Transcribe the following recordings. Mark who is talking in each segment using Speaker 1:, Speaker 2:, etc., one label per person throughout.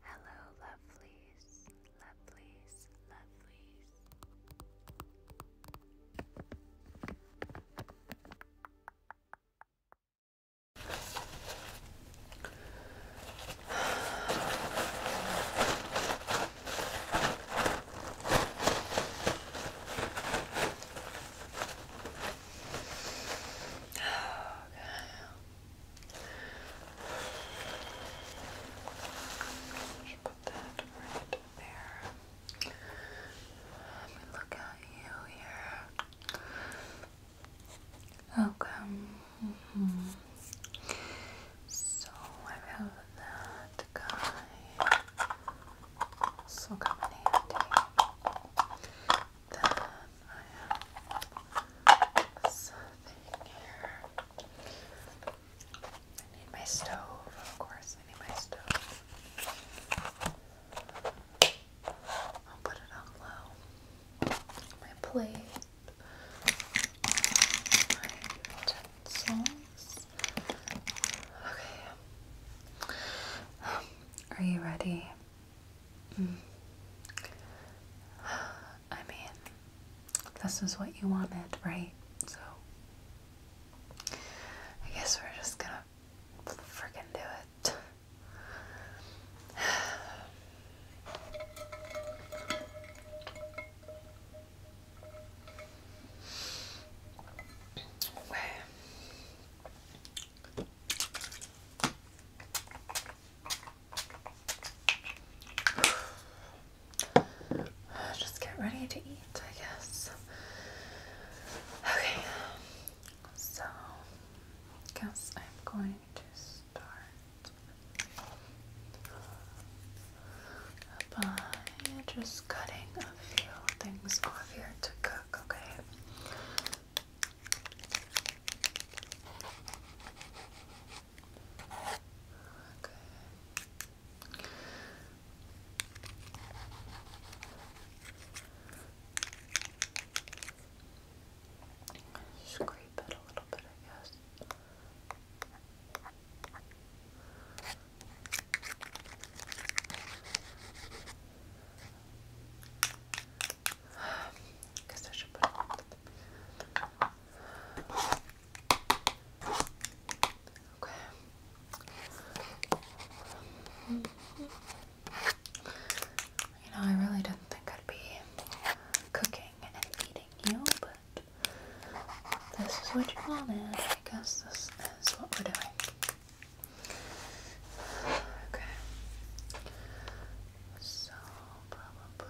Speaker 1: Hello, lovelies, lovelies, lovelies. Okay. Oh, just put that right there. Let me look at you here. Okay. So I have that guy. So come I have something here. I need my stove, of course. I need my stove. I'll put it on low. My plate. My utensils. Okay. are you ready? I mean, this is what you wanted, right? So, I guess we're just gonna freaking do it. Just get ready to eat, I guess. Okay, so I guess I'm going to start by just cutting a few things off here to cook, okay? Okay. Scrape it a little bit, I guess. I guess I should put Okay. You know, I really didn't think I'd be cooking and eating you, but this is what you wanted. I guess this is what we're Okay. So probably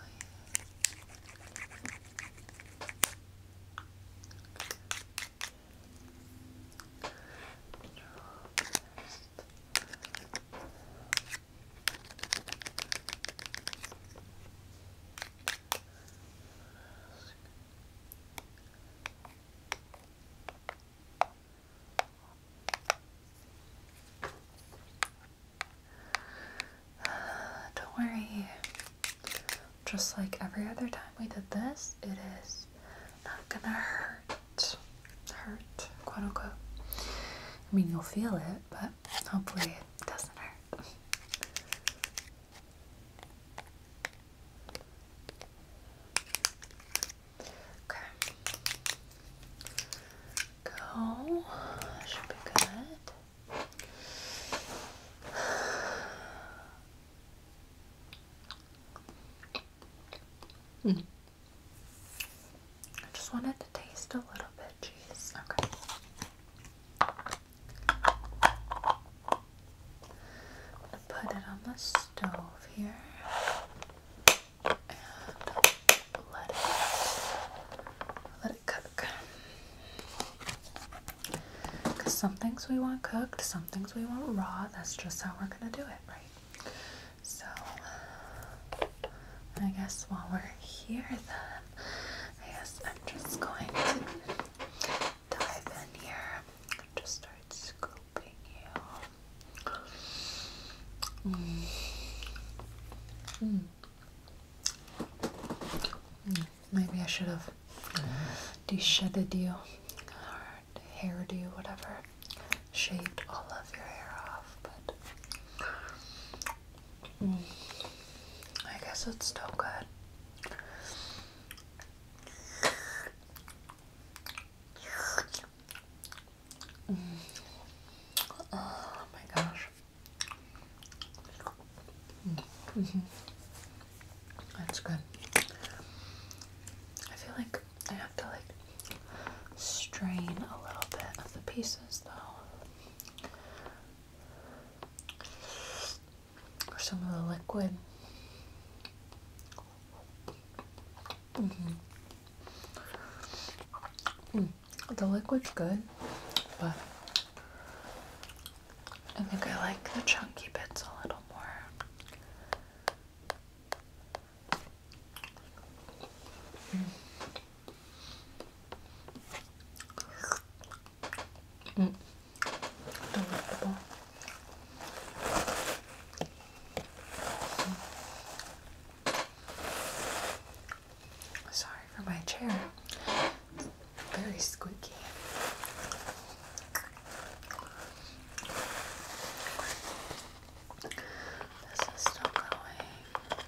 Speaker 1: Don't worry. Just like every other time we did this, it is not gonna hurt. Hurt, quote unquote. I mean, you'll feel it, but hopefully it doesn't hurt. Okay. Go. should be good. Hmm. I just wanted to taste a little bit, cheese. Okay. Put it on the stove here let it let it cook. Cause some things we want cooked, some things we want raw. That's just how we're gonna do it, right? So I guess while we're here, then I guess I'm just going to dive in here. Just start it's you. Mm. Mm. Maybe I should have de-shedded you or whatever. Shaved all of your hair off, but mm. I guess it's still good. Oh my gosh. That's good. I feel like I have to like strain a little bit of the pieces though. Or some of the liquid Mm-hmm. Mm. The liquid's good, but I think I like the chunky bits a little more. Mm. Mm. Sorry for my chair. It's very squeaky. This is still going.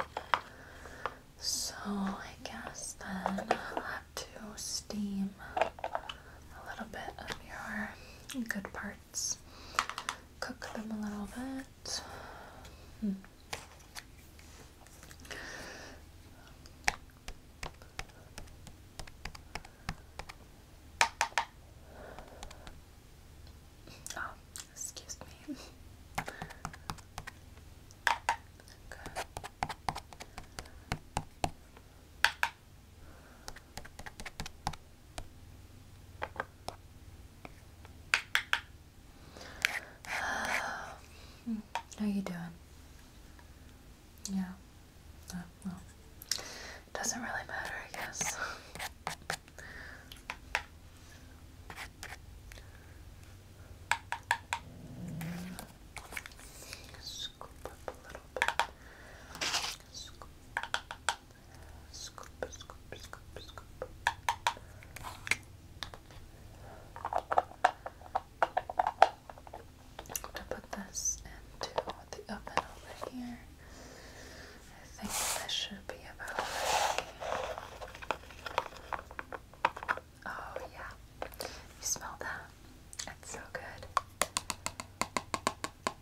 Speaker 1: So I guess then I'll have to steam a little bit of your good part parts. Cook them a little bit. Hmm. Oh, excuse me. Okay. How you doing? Yeah. Uh, well, doesn't really matter, I guess. Scoop up a little bit. I'm gonna put this into the oven over here. I think this should be about ready. Oh, yeah. You smell that? It's so good.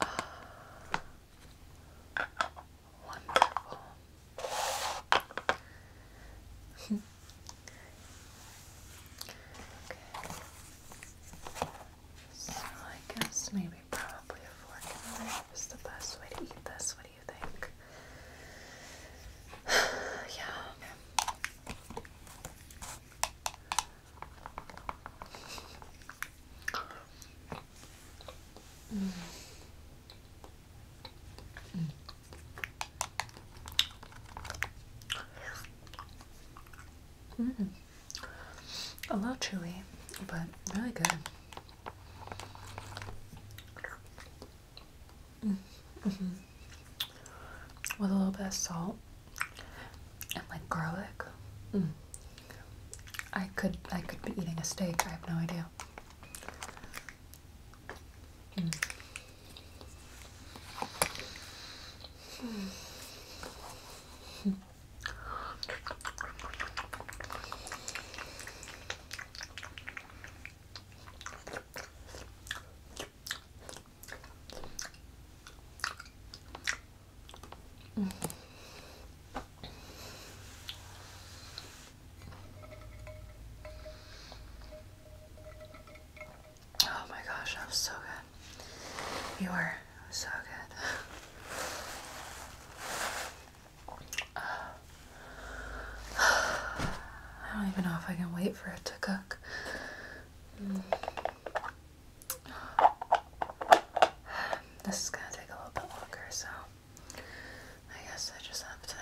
Speaker 1: wonderful. So I guess maybe probably a fork is the best way to eat this. What do you think? yeah mm. Mm. Mm. A little chewy, but really good. Mm -hmm. With a little bit of salt and like garlic. Mm. I could I could be eating a steak. I have no idea. Mm. Oh my gosh, that was so good. You were so good. I don't even know if I can wait for it to cook. Mm. This is gonna take a little bit longer, so I guess I just have to.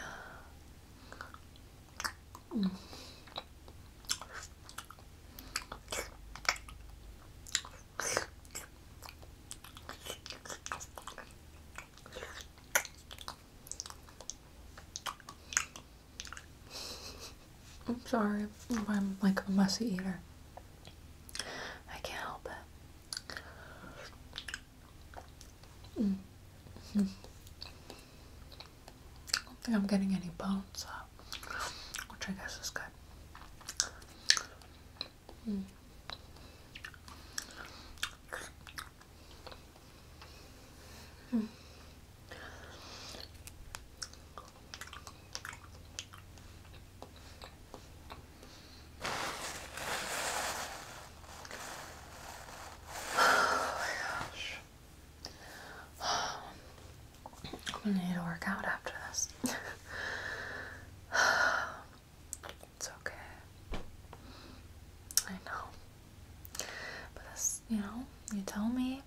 Speaker 1: I'm sorry I'm like a messy eater. I can't help it. I don't think I'm getting any bones up, which I guess is good. I'm gonna need to work out after this. it's okay. I know. But you know, you tell me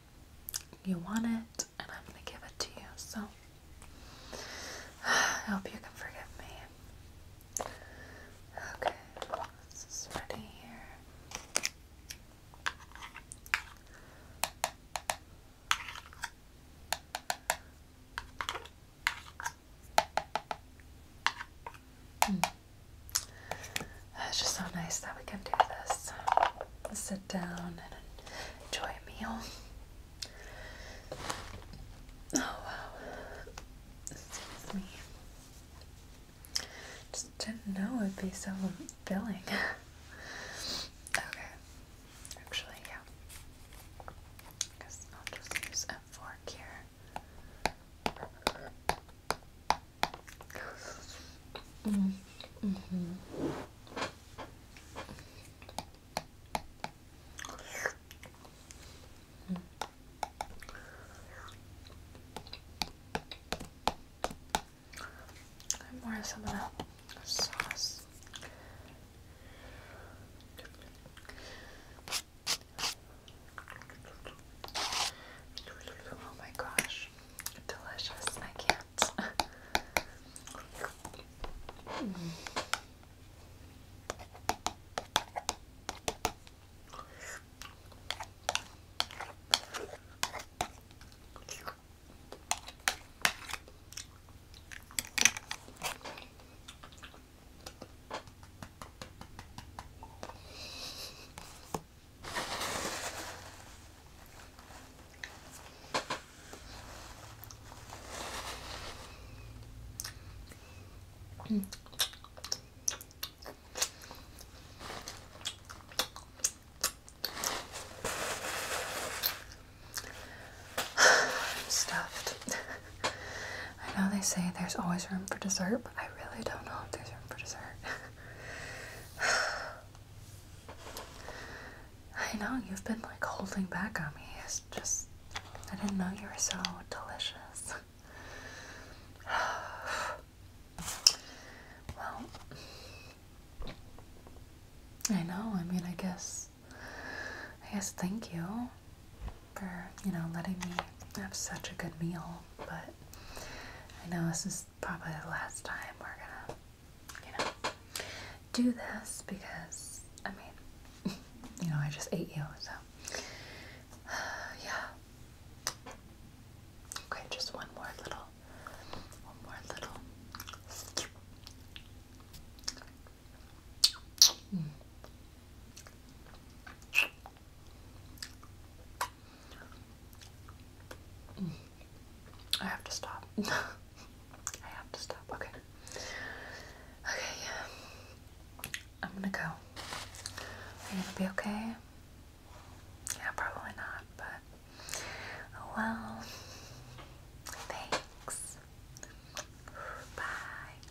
Speaker 1: you want it, and I'm going to give it to you. So I hope you can forgive me. Okay, this is ready here. Mm. It's just so nice that we can do this. Sit down and enjoy a meal. Oh wow. Excuse me. Just didn't know it'd be so filling. okay. Actually, yeah. I I'll just use a fork here. Mm -hmm. I'm more some of that sauce. Oh my gosh, delicious. I can't. I'm stuffed. I know they say there's always room for dessert, but I really don't know if there's room for dessert. I know you've been like holding back on me. It's just I didn't know you were so delicious. well, I know. I mean, I guess I guess thank you for, you know, letting me have such a good meal. But I know this is probably the last time we're gonna, you know, do this because, I mean, you know, I just ate you, so. yeah. Okay, just one more little, one more little. Mm. I have to stop. I have to stop. Okay. Okay. I'm gonna go. Are you gonna be okay? Yeah, probably not, but oh well. Thanks. Bye.